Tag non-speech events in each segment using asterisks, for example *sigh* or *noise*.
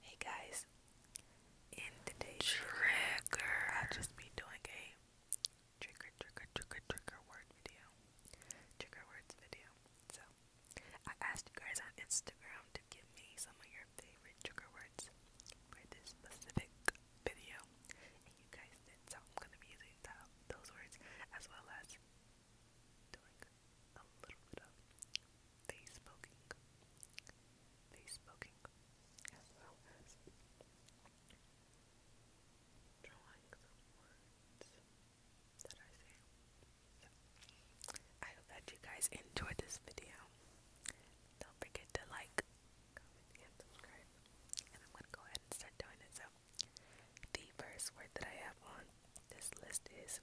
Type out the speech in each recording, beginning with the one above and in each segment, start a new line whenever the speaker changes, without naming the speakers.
Hey guys, in today's trigger, I'll just be doing a trigger, trigger, trigger, trigger word video, trigger words video. So, I asked you guys on Instagram to give me some of your favorite trigger words for this specific video, and you guys did, so I'm gonna be using that, those words as well as doing I I hope that you guys enjoyed this video. Don't forget to like, comment, and subscribe. And I'm gonna go ahead and start doing it. So, the first word that I have on this list is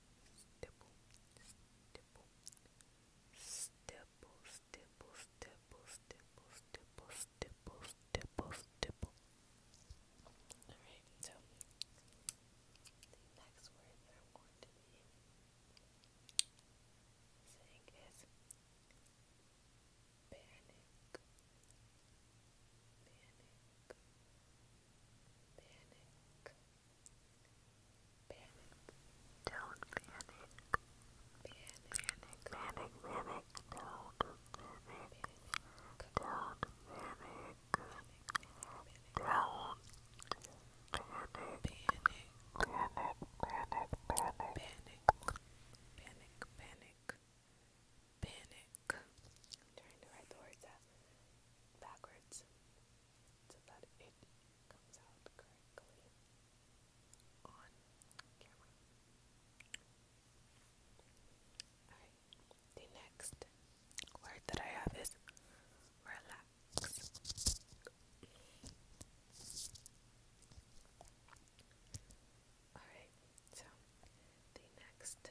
stipple, stipple, stipple, stipple, stipple, stipple, stipple, stipple, stipple, Alright, so the next word I'm going to be saying is panic. Panic. Panic. Panic. Don't panic. Panic. Panic. Panic. Panic. Don't panic. Don't panic. Don't panic. Panic. Panic. Panic. Panic. Panic. Panic. I'm trying to write the words out backwards so that it comes out correctly on camera. Alright, the next word that I have is relax. Alright, so the next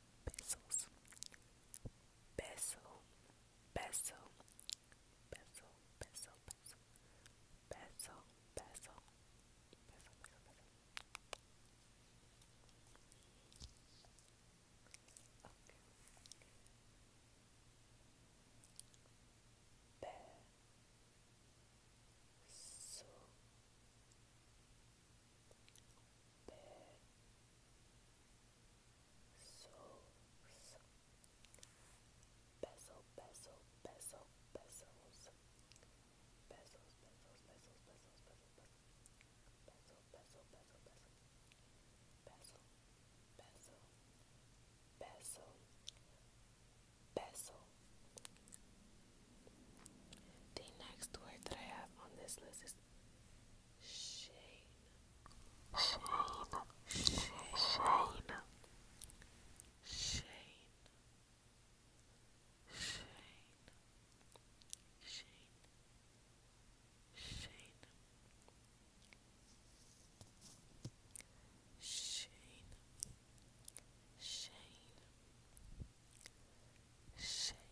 Bezos. Beso. Beso. Beso. Beso. Beso. Beso. Beso. Beso. Bezos. Bezel, bezel, bezel, bezels. Bezels, bezels, bezels, bezels, bezels, bezel, bezel, bezel, bezel, bezel, bezel, bezel, bezel, bezel, the next word that I have on this list is Shane. Shane. Shane. Shane. Shane. Shane. Shane. Shane. Shane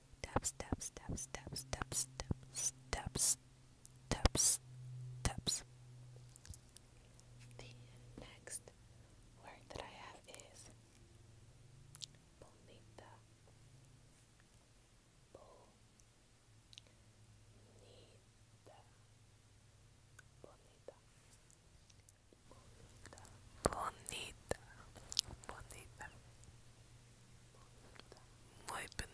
tap step step step step step step step steps. The next word that I have is bonita bonita bonita bonita bonita bonita muy bonita. Bonita,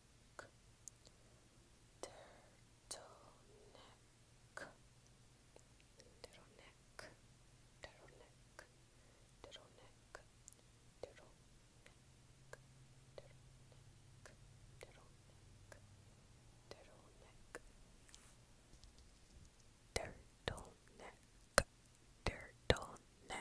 turtleneck, turtleneck, neck, turtleneck, turtleneck, turtleneck, turtleneck, turtleneck, turtleneck, turtleneck,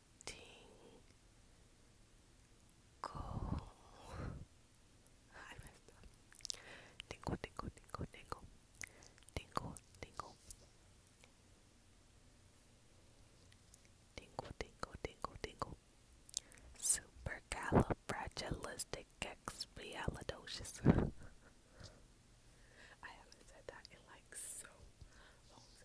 Tingle. I messed up. Tingle, tingle, tingle, tingle. Tingle, tingle. Tingle, tingle, tingle, tingle. Supercalifragilisticexpialidocious. *laughs* I haven't said that in like so long, so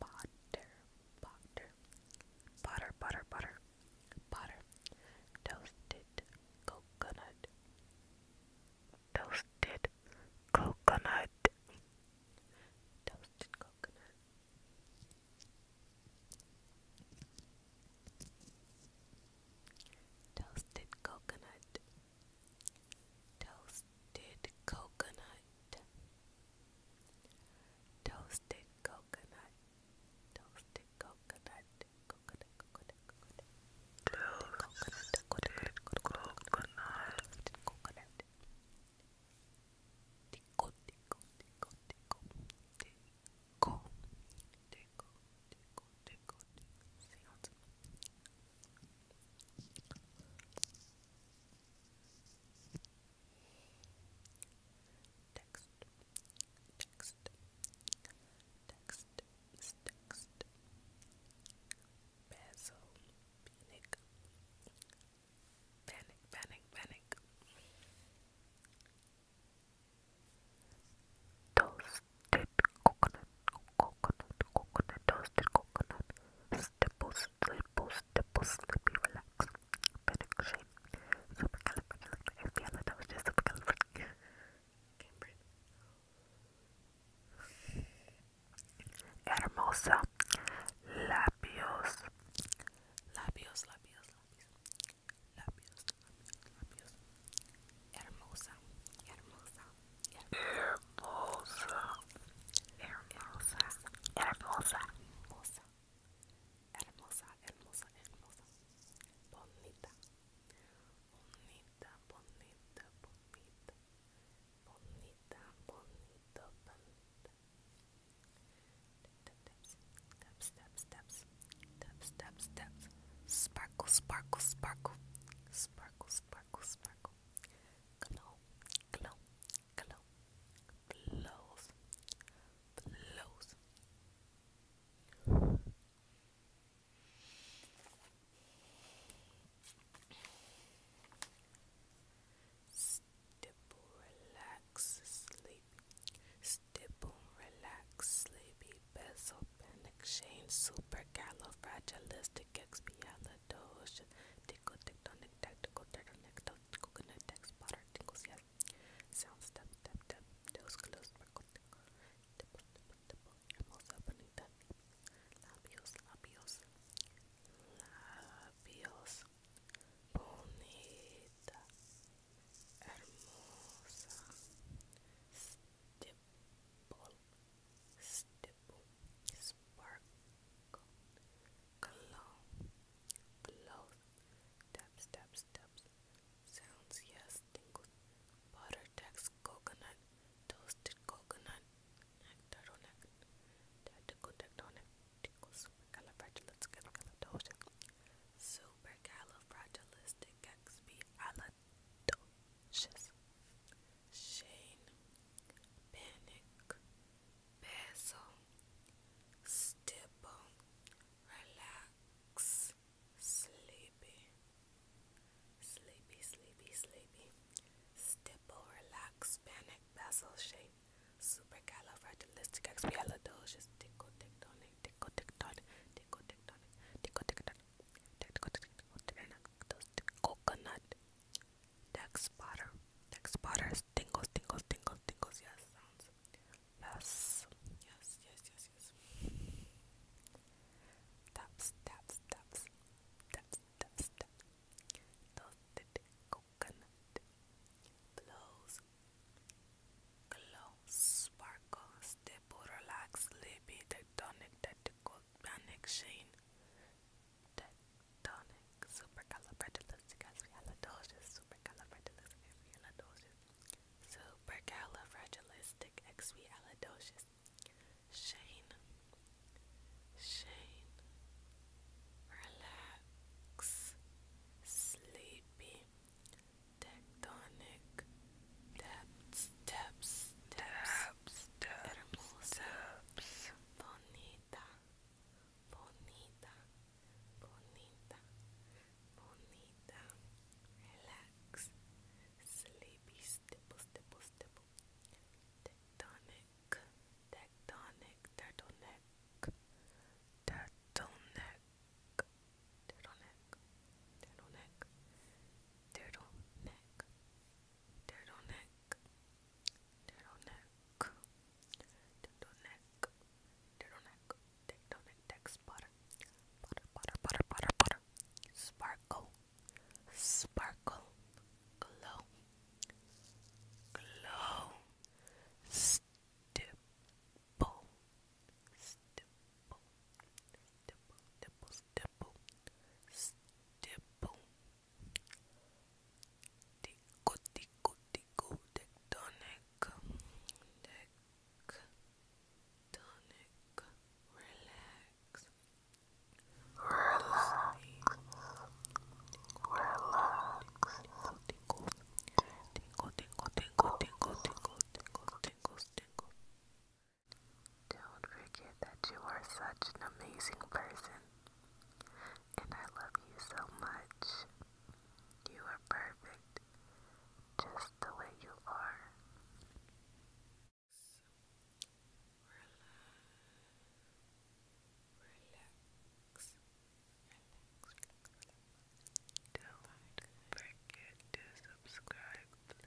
Butter, butter, butter, butter, butter, toasted coconut, toasted coconut, toasted coconut. Toasted coconut, Toasted coconut. Toasted coconut. Toasted coconut. Coconut, coconut, coconut. Toasted coconut. Coconut. Toasted coconut. Tico, tico, tico, tico. Tico. Text, text, text, text. Basil, panic, panic, panic. Toasted coconut, coconut, coconut, toasted coconut. Stipple, stipple, stipple, sleepy, relax. Benediction. Supercalifragilistic. that was just supercalifragilistic. Can't breathe. Hermosa. Labios. Labios, labios, labios. Labios, labios, labios. Hermosa. Hermosa. Hermosa. Hermosa. Hermosa. Hermosa. Hermosa, hermosa, hermosa. Bonita. Bonita, bonita, bonita. Bonita, bonita. Taps, taps, taps, taps. Taps, taps, Sparkle, sparkle, sparkle. Sparkle, sparkle, sparkle glow, glow, blows, blows. relax, sleepy. Stipple, relax, sleepy. Best open exchange. Supercalifragilisticexpialidocious question. Tinkle, tick, tock, nick, tack, tickle, turtle, nick, tock, coconut, tack, spotter, tinkles, yes. Sound, step, step, step, toes, close, sparkle, tinkle, tipple, tipple, tipple, animals up beneath the labios, labios, labios, bonita, hermosa, stipple, stipple dipple, sparkle, glow, glows, tap, steps, sounds, yes, tingles, butter, text, coconut, toasted coconut, nectaronic, tactical tectonic, tingles, supercalifragilisticexpialidocious, supercalifragilisticexpialidocious. Docious, Shane, Panic, Basil, Stipple, Relax, Sleepy, Sleepy, Sleepy, Sleepy, Stipple, Relax, Panic, Basil, Shane, Supercalifragilisticexpialidocious, Tickle, Tectonic, Tickle, Tectonic, Tickle, Tectonic, Tickle, Tectonic, Tickle, Tectonic, Tickle, Tectonic, coconut deck spotter deck spotters tingles tingles tingles tingles yes yes yes yes yes taps taps taps taps taps taps toasted coconut blows glow sparkle stipple relax sleepy tectonic tactical panic sheen tectonic supercalifragilisticexpialidocious supercalifragilisticexpialidocious supercalifragilisticexpialidocious Shane Shane relax sleepy tectonic Taps, taps, taps,
taps,
taps. Bonita, bonita, bonita, bonita. Relax. Sleepy, stipple, stipple, stipple. Tectonic, tectonic, turtleneck, turtleneck. Turtleneck, turtleneck, turtleneck, turtleneck, turtleneck, turtleneck, turtleneck, turtleneck, text butter, butter, butter, butter, butter, butter, sparkle, sparkle, glow, glow, stipple, stipple, stipple, stipple, stipple, stipple. Tico, tico, tico, tectonic, tectonic. Relax, relax, relax. Tickle, tickle, tickle, tickle, tickle, tickle, tickle, tickle, tickle. Don't forget that you are such an amazing person. And I love you so much. You are perfect just the way you are. Relax. Relax. Relax. Don't forget to subscribe